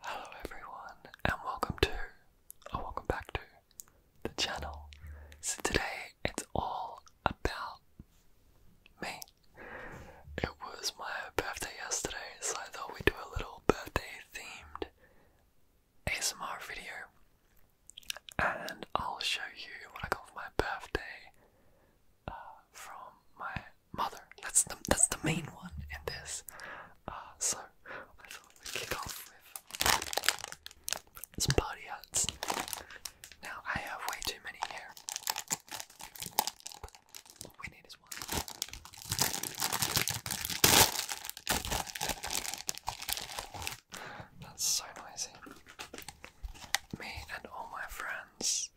Hello everyone and welcome to or welcome back to the channel. So today it's all about me. It was my birthday yesterday, so I thought we'd do a little birthday themed ASMR video. And I'll show you what I got for my birthday uh, from my mother. That's the that's the main one in this. Uh, so I thought kick off with some party hats. Now I have way too many here. But we need is one. That's so noisy. Me and all my friends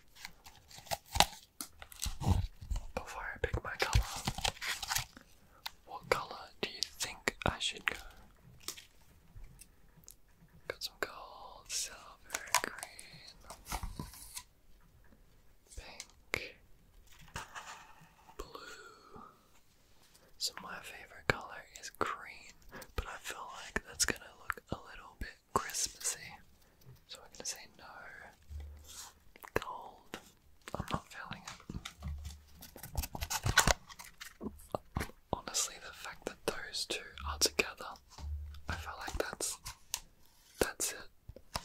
before I pick my color, what color do you think I should go? Got some gold, silver, green, pink, blue. So my favorite color is green, but I feel like that's gonna look a little bit Christmassy. So I'm gonna say no. Gold. I'm not feeling it. Honestly, the fact that those two are together, I feel like that's that's it.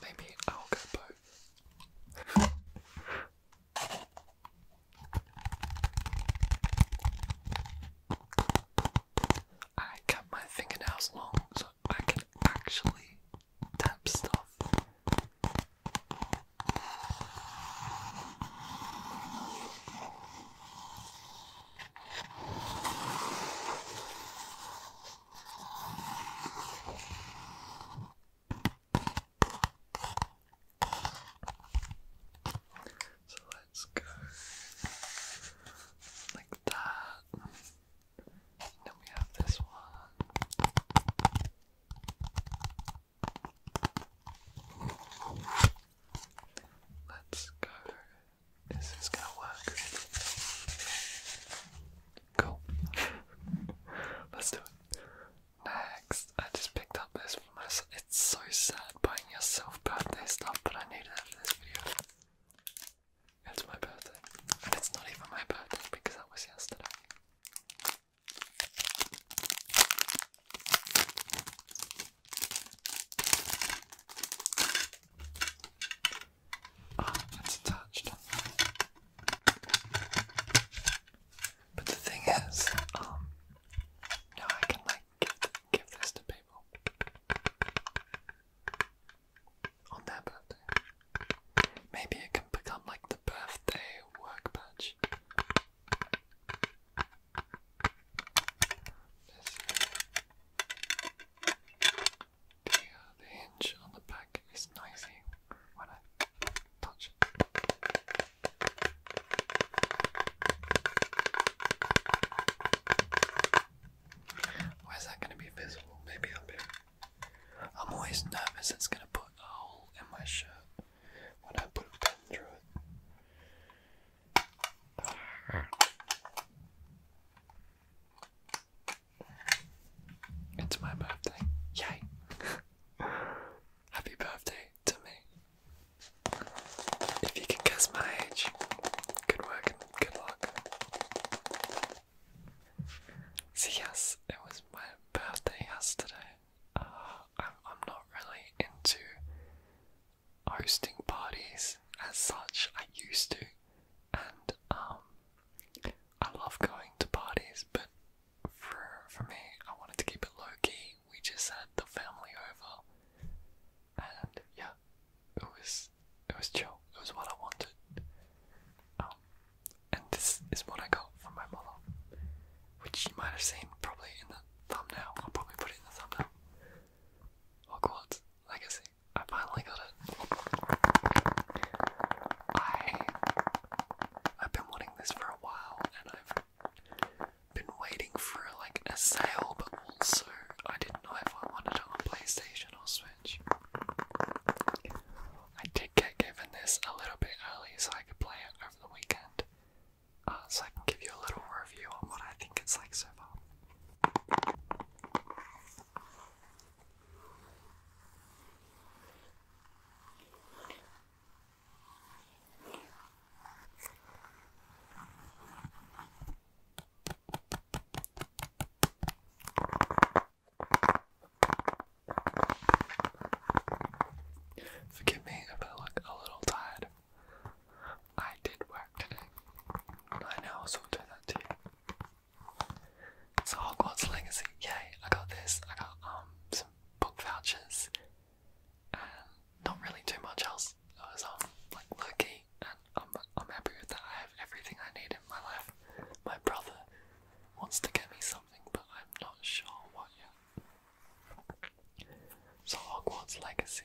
Maybe I'll go both. I kept my fingernails long so I can actually so let's go like that then we have this one. Let's go. This is gonna work. Cool. Let's do it. Next, I just picked up this for myself. It's so sad buying yourself birthday stuff, but I needed it for this video. It's my birthday. And it's not even my birthday because that was yesterday. Ah, it's attached. But the thing is, um, now I can like give this to people on their birthday. Maybe it can become like the birthday work badge. This uh, the, hinge on the back is noisy when I touch it. Where's that going to be visible? Maybe up here. I'm always nervous it's gonna put a hole in my shirt when I put a pen through it. It's my birthday. Yay! Happy birthday to me. If you can guess my age, good work good luck. So yes, it was my birthday yesterday. Uh, I'm, not really into hosting parties as such. I used to, and um, I love going to parties, but for for me, I wanted to keep it low key. We just had the family over, and yeah, it was it was chill. It was what I wanted. Um, and this is what I got from my model, which you might have seen probably in the thumbnail. I'll probably put it in the thumbnail. Hogwarts oh Legacy. I finally got it. I I've been wanting this for a while, and I've been waiting for like a sale, but also I didn't know if I wanted it on PlayStation or Switch. I did get given this a little bit early so I could play it over the weekend. Uh, so I can give you a little review on what I think it's like so far. Forgive me if I look a little tired. I did work today. I know Nine hours will do that to you. So Hogwarts Legacy, yay, I got this, I got um some book vouchers and not really too much else. I was um like lucky and I'm I'm happy that. I have everything I need in my life. My brother wants to get me something, but I'm not sure what yet. So Hogwarts Legacy.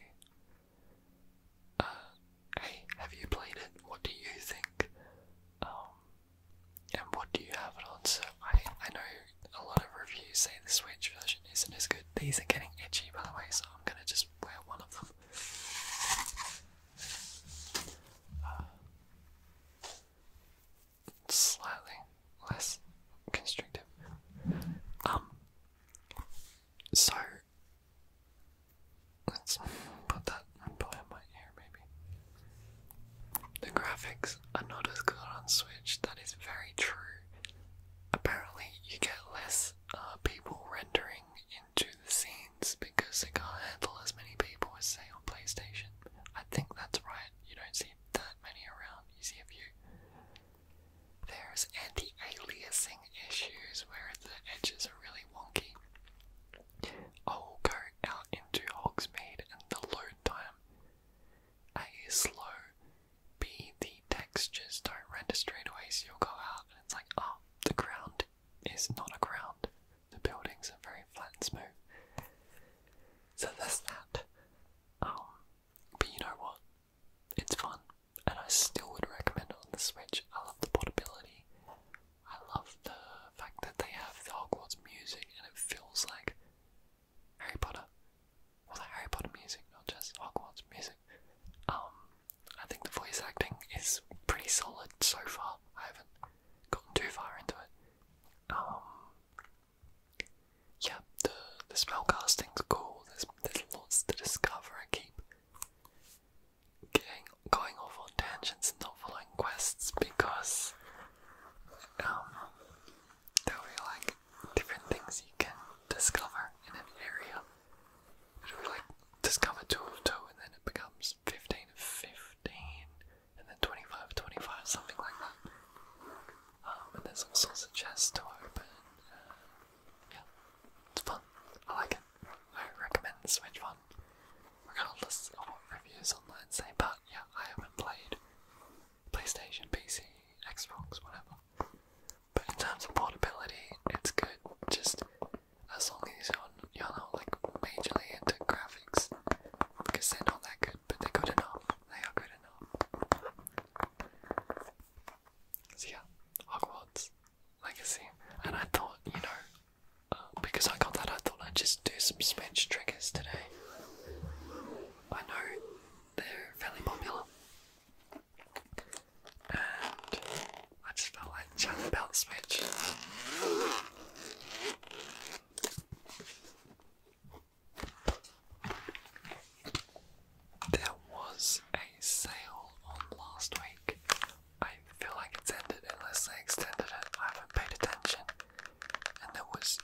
Uh, hey, have you played it? What do you think? Um, and what do you have it on? So I, I know a lot of reviews say the Switch version isn't as good. These are getting itchy, by the way, so I'm gonna just wear one of them. Uh, slightly less constrictive. Um, so let's put that below my ear, maybe. The graphics are not as good on Switch. That is very true. Apparently, you get less uh, people rendering into the scene because it can't handle as many people as say on PlayStation. I think that's right, you don't see that many around, you see a few. There's anti-aliasing issues where the edges are really wonky. I'll go out into Hogsmeade and the load time. A is slow, B the textures don't render straight away so you'll go out and it's like, oh, the ground it's not a ground. The buildings are very flat and smooth. So that's that. Um, but you know what? It's fun, and I still would recommend it on the Switch. I love the portability. I love the fact that they have the Hogwarts music, and it feels like Harry Potter. All the Harry Potter music, not just Hogwarts music. Um, I think the voice acting is pretty solid so far. I haven't gotten too far into it. Um, yeah, the the spell casting's cool. There's there's lots to discover. and keep getting going off on tangents and not following quests because um, there'll be like different things you can discover in an area. It'll be like discover two of two and then it becomes 15 and 15, and then 25 25, something like that. Um, and there's all sorts chests to open. Uh, yeah, it's fun. I like it. I recommend Switch one, regardless of what reviews online say. But yeah, I haven't played PlayStation, PC, Xbox, whatever. But in terms of portability, it's good. Just as long as you y'all not like majorly into graphics because they're not that good, but they're good enough. They are good enough. So yeah, Hogwarts Legacy, and I thought, you know, um, because I got that, I thought I'd just do some speech triggers today. I know they're fairly popular. And I just felt like chatting about Switch. There was a sale on last week. I feel like it's ended unless they extended it. I haven't paid attention. And there was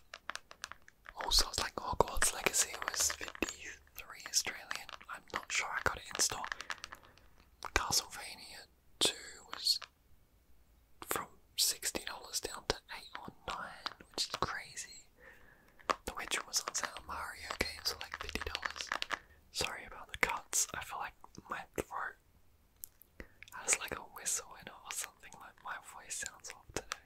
also it's like Hogwarts Legacy was 53 Australian. I'm not sure I got it in store. Castlevania 2 was from $60 down to 8 or 9 which is crazy. The Witcher was on sale, Mario games were like $50. Sorry about the cuts, I feel like my throat has like a whistle in it or something, like my voice sounds off today.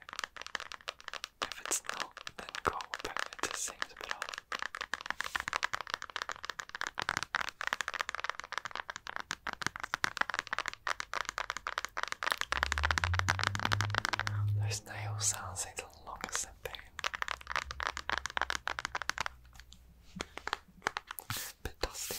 If it's not, then go back, it just seems a bit off. Those nails sounds need the longest thing. Bit dusty.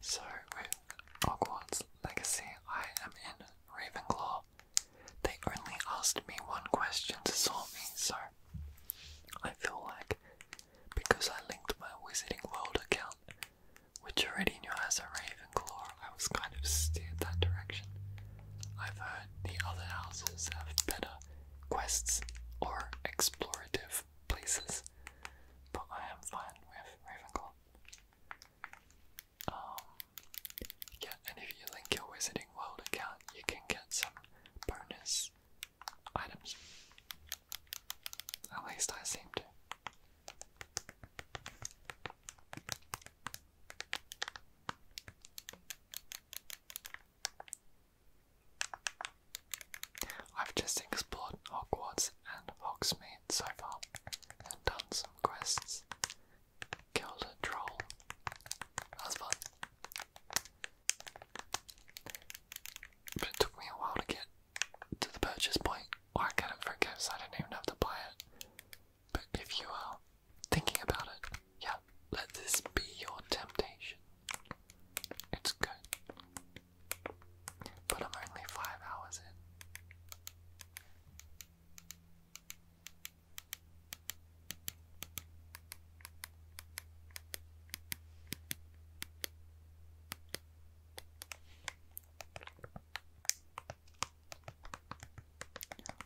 So, with Hogwarts Legacy, I am in Ravenclaw. They only asked me one question to sort me, so I feel like because I linked my Wizarding World account, which already knew as a Ravenclaw, I was kind of steered that direction. I've heard the other houses have better quests or explorative places, but I am fine with Ravenclaw. Um, yeah, and if you link your Wizarding World account, you can get some bonus items. At least I seem to. I've just explored Hogwarts and Hogsmeade so far and done some quests. Killed a troll. That was But it took me a while to get to the purchase point, I got it for gifts, I didn't even have to buy it. But if you are thinking about it, yeah, let this be your temptation. It's good. But I'm only five hours in.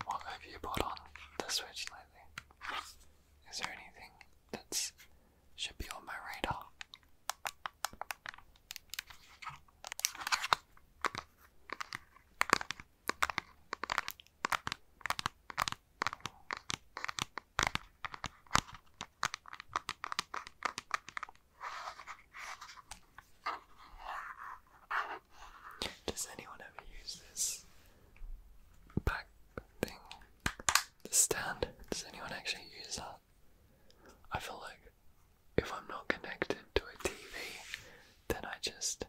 What have you bought on the Switch lately? Is there anything that's should be on my radar. Does anyone ever use this back thing? The stand? Does anyone actually use that? I feel like if I'm not connected to a TV, then I just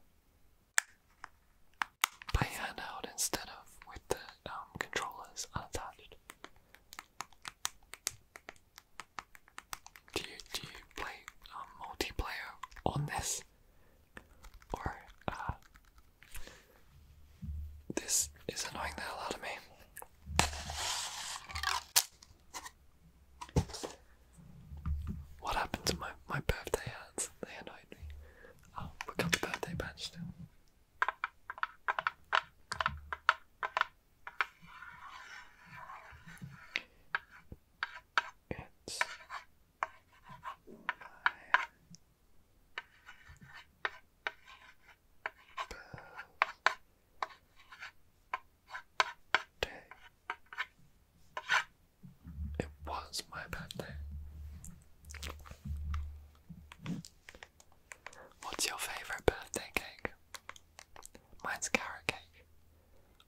play handheld instead of with the um, controllers unattached. Do you do you play um, multiplayer on this, or uh, this is annoying the hell out of me. What happened to my, my birthday hats? They annoyed me. Oh, we got the birthday badge still. It's birthday. It was my birthday. What's your favourite birthday cake? Mine's carrot cake.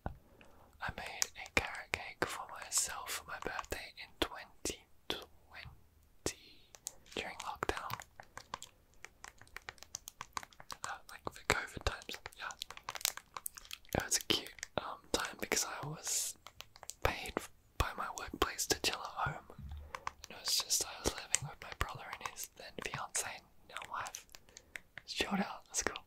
I made a carrot cake for myself for my birthday in 2020 during lockdown. Uh, like the COVID times, yeah. It was a cute um, time because I was paid by my workplace to chill at home. And it was just, I was living with my brother and his then fiance now wife. It's chilled out, that's cool.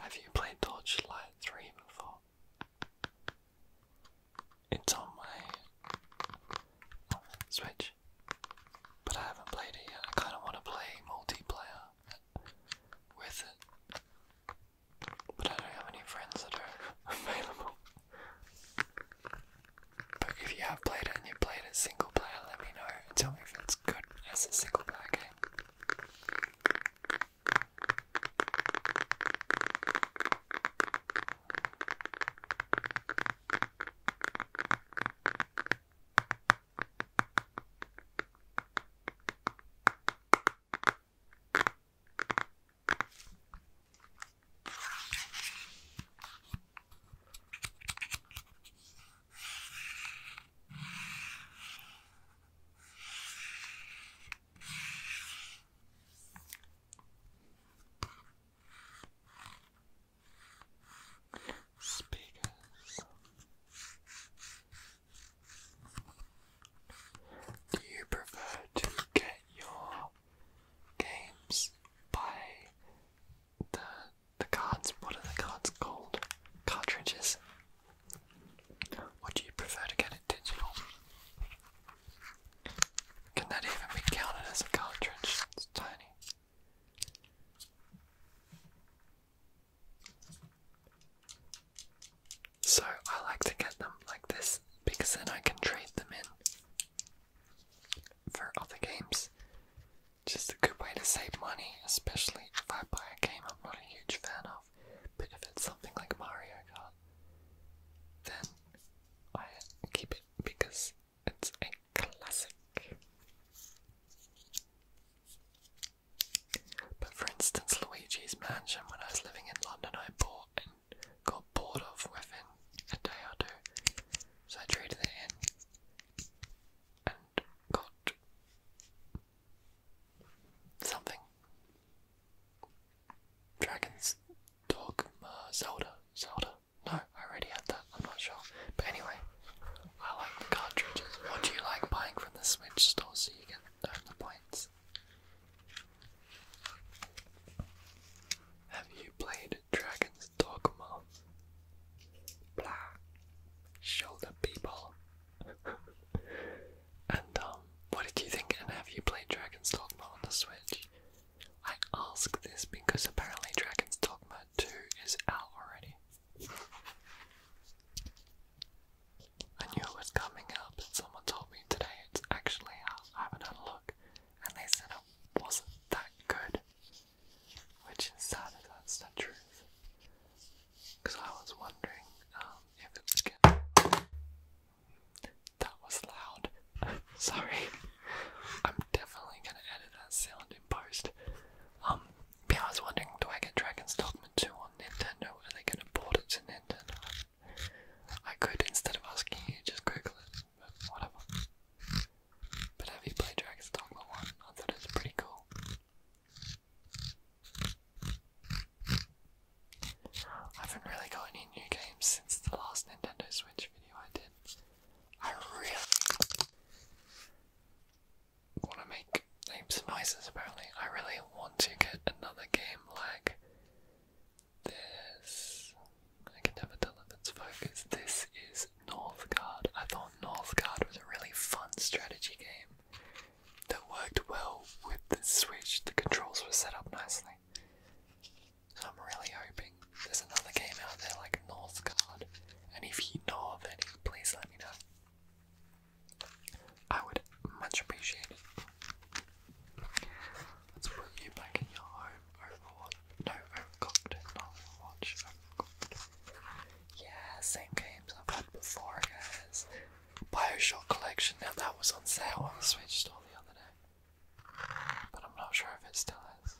Have you played Torchlight 3 before? It's on my Switch, but I haven't played it yet. I kind of want to play multiplayer with but I don't have any friends that are available. But if you have played it and you played it single player, let me know and tell me if it's good as a single player game. Speakers. Do you prefer to get your games by the the cards. What are the cards called? Cartridges. Or do you prefer to get it digital? Can that even be counted as a cartridge? It's tiny. So I like to get them like this because then I can trade them in for other games. Just a good way to save money, especially if I buy a game I'm not a huge fan of. But if it's something like Mario Kart, then I keep it because it's a classic. But for instance, Luigi's Mansion, when I was living in London, I bought and got bored of within a day or two. So I traded it in and got something. Dragon's Dogma Zelda. Zelda? No, I already had that, I'm not sure. But anyway, I like the cartridges. What do you like buying from the Switch store so you can earn the points? Have you played Dragon's Dogma. Blah. Show people. and um, what did you think? And have you played Dragon's Dogma on the Switch? I ask this because apparently Dragon's Dogma 2 is out already. I knew it was coming up, and someone told me today it's actually out. I haven't had a look, and they said it wasn't that good. Which is sad if that's the truth. Because I was wondering um, if it was good. That was loud. Sorry. I'm definitely gonna edit that sound in post. Um, yeah, I was wondering, do I get Dragon's Dogma 2 on Nintendo? Are they gonna port it to Nintendo? I could, instead of asking you, just Google it whatever. But have you played Dragon's Dogma 1? I thought it pretty cool. I haven't really got any new games since the last Nintendo Switch video I did. I really want to make names noises apparently. I really want to get another game like this. I can never tell if it's focused. This is Northgard. I thought Northgard was a really fun strategy game that worked well with the Switch. The controls were set up nicely. I'm really hoping there's another game out there like Northgard, and if you know of any, please let me know. I would much appreciate it. Let's put back in your home. Overwatch. No, Overcooked. Not Overwatch. Overcooked. Yeah, same games I've had before, guys. Bioshock Collection. Now that was on sale on the Switch store the other day, but I'm not sure if it still is.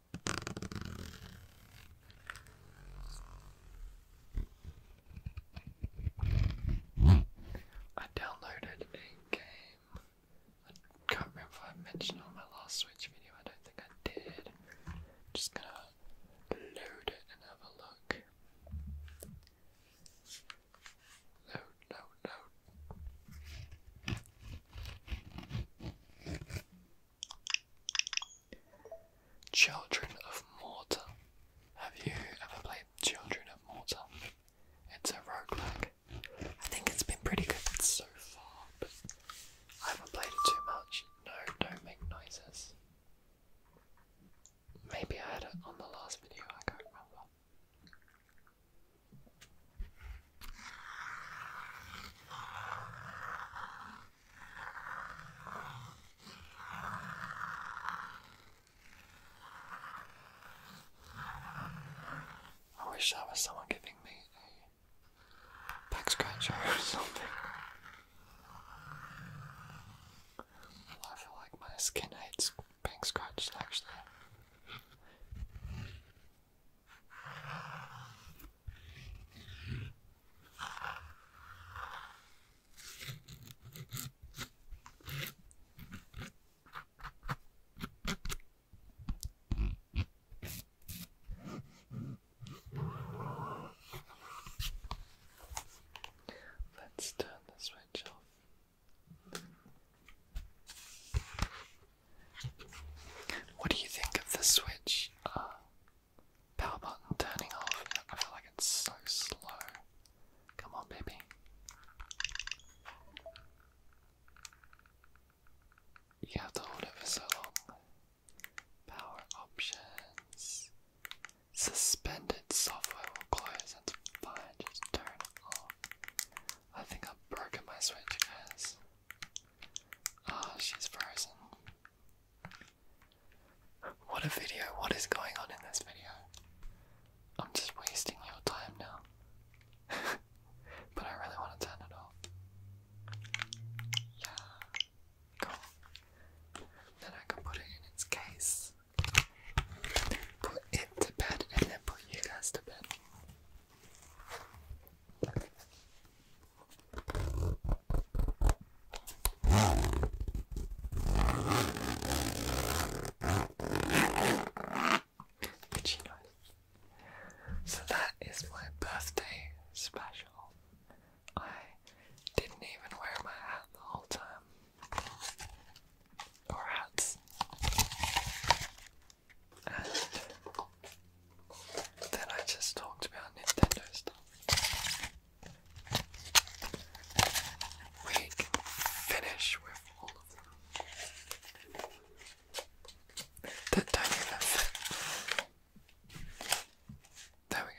I downloaded a game. I can't remember if I mentioned on my last Switch video, I don't think I did. Just gonna load it and have a look. Load, load, load. Children of Morta. Have you ever played Children of Morta? It's a roguelike. I think it's been pretty good so far, I haven't played it too much. No, don't make noises. Maybe I had it on the last video, I can't remember. I wish I was someone giving me a back scratcher or something. I feel like my skin hates being scratched actually. Let's turn the switch off. What do you think of the Switch uh, power button turning off? I feel like it's so slow. Come on, baby. You have to hold it for so long. Power options. Suspended software will close. That's fine. Just turn off. I think I've broken my switch, guys oh, she's frozen. What a video. What is going on in this video? I'm just wasting your time now. but I really want to turn Yeah. Cool. Then I can put it in its case. Put it to bed and then put you guys to bed. So that is my birthday special. I didn't even wear my hat the whole time. Or hats. And then I just talked about Nintendo stuff. We finish with all of them. There we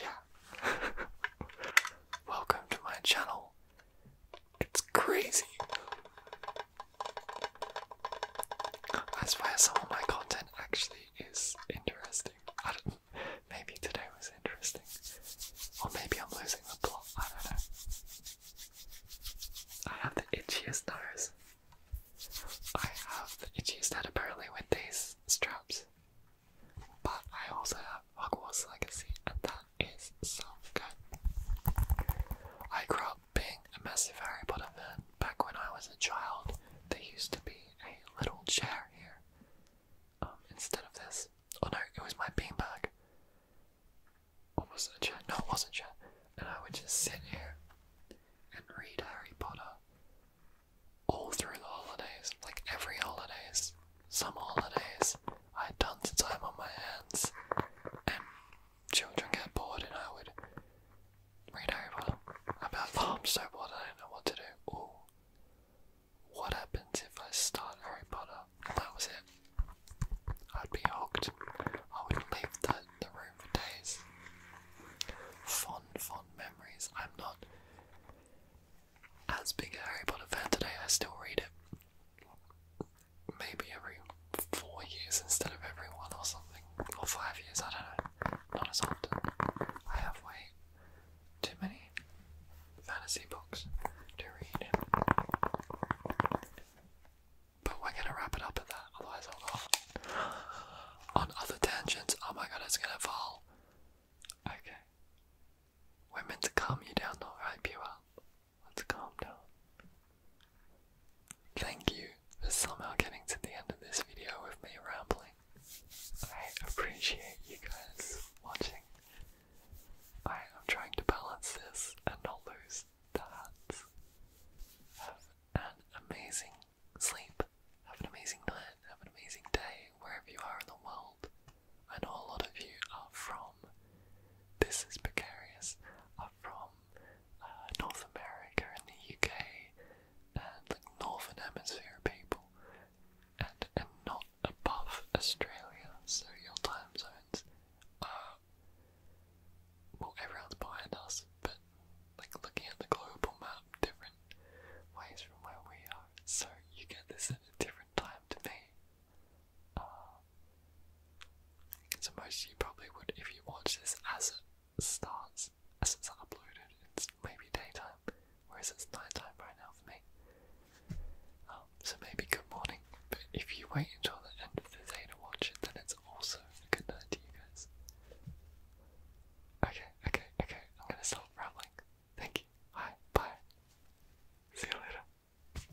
go. Yeah. Welcome to my channel. It's crazy. That's where some of my content actually is interesting. I don't, maybe today was interesting. Or maybe I'm losing the plot. I don't know. I have the itchyest nose. I have the itchiest head apparently with these straps. But I also have Hogwarts Legacy, and that is self. good. I grew up being a massive Harry Potter fan. Back when I was a child, there used to be a little chair here um, instead of this. Oh no, it was my beanbag. Or was not a chair? No, it was not a chair. And I would just sit here and read Harry Potter all through the holidays, like every holidays, some holidays. I had tons of time on my hands, and children get bored and I would read over them. i so bored, I don't know what to do. what happens if I start Harry Potter? And that was it. I'd be hooked. I would not leave the, the room for days. Fond, fond memories. I'm not as big a Harry Potter fan today, I still read it maybe every four years instead of every one or something, or five years, I don't know. Not as often. I have way too many fantasy books to read. But we're gonna wrap it up at that, otherwise On other tangents, oh my god, it's gonna fall. Okay. we to calm you down, though, right, Pure? Let's calm down. Thank you for somehow getting to the end of this video with me rambling. I appreciate you guys watching. I am trying to balance this and not lose the hats. Have an amazing sleep. Have an amazing night. Have an amazing day wherever you are in the world. I know a lot of you are from. This is precarious. Are from uh, North America and the UK and like Northern Hemisphere people, and and not above Australia. So your time zones are well, everyone's behind us, but like looking at the global map, different ways from where we are. So you get this at a different time to me. Uh, so most you probably would, if you watch this as it starts, as it's uploaded, it's maybe daytime, whereas it's nighttime right now for me. Um, so maybe good morning, but if you wait until the end of the day to watch it, then it's also a good night to you guys. Okay, okay, okay, I'm gonna stop rambling. Thank you. Hi, bye. See you later.